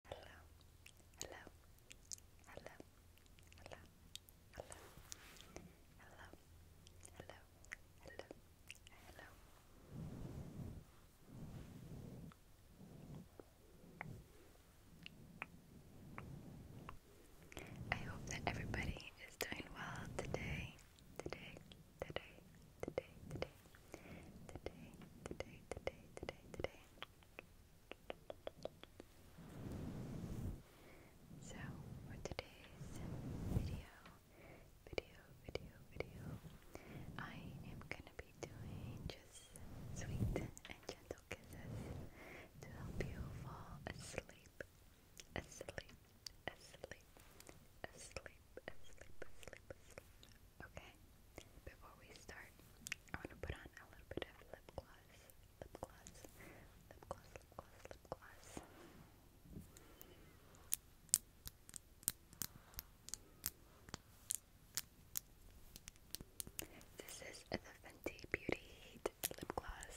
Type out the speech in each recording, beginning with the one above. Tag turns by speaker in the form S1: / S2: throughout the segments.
S1: Hello, hello, hello, hello, hello, hello, hello, hello, hello. I hope that everybody is doing well today, today, today, today, today, today, today, today, today, today. So, for today's video, video, video, video, I am gonna be doing just sweet and gentle kisses to help you fall asleep, asleep, asleep, asleep, asleep, asleep, asleep, okay? before we start, I want to put on a little bit of lip gloss. Lip gloss. Lip gloss, lip gloss, lip gloss. This is the Fenty Beauty Heat Lip Gloss.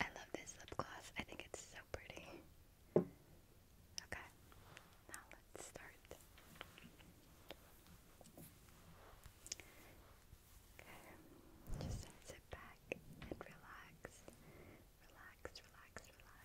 S1: I love this lip gloss. I think it's so pretty. Okay, now let's start. Okay, just sit back and relax. Relax, relax, relax.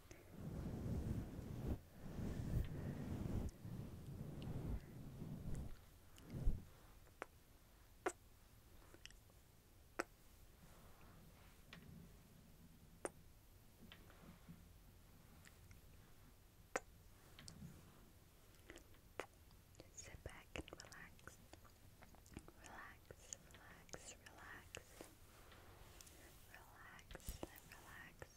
S1: sit back and relax. Relax, relax, relax. Relax, relax,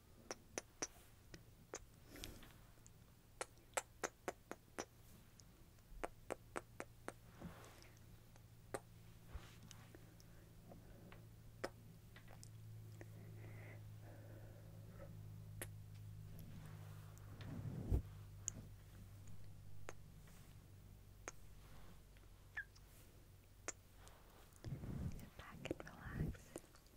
S1: Sit back and relax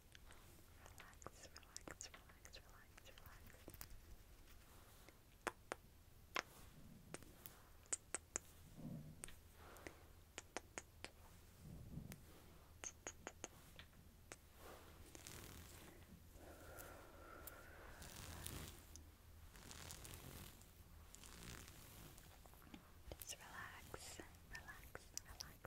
S1: Relax, relax, relax, relax, relax. Just relax, relax, relax.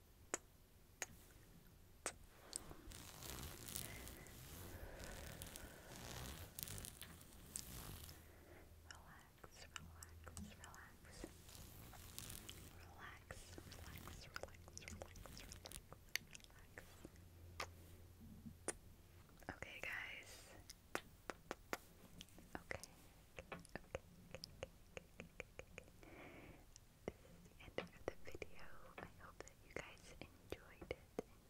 S1: relax. Okay, guys. Okay. Okay. okay, okay, okay, okay, okay end of the video. I hope that you guys enjoyed it,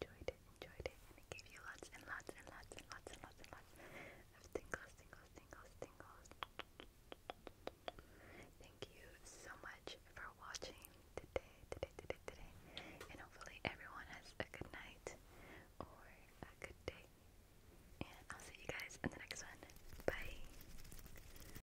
S1: enjoyed it, enjoyed it, and it gave you lots and lots and lots and lots and lots of tingles, tingles, tingles, tingles. Thank you so much for watching today, today, today, today, and hopefully everyone
S2: has a good night or a good day. And I'll see you guys in the next one. Bye.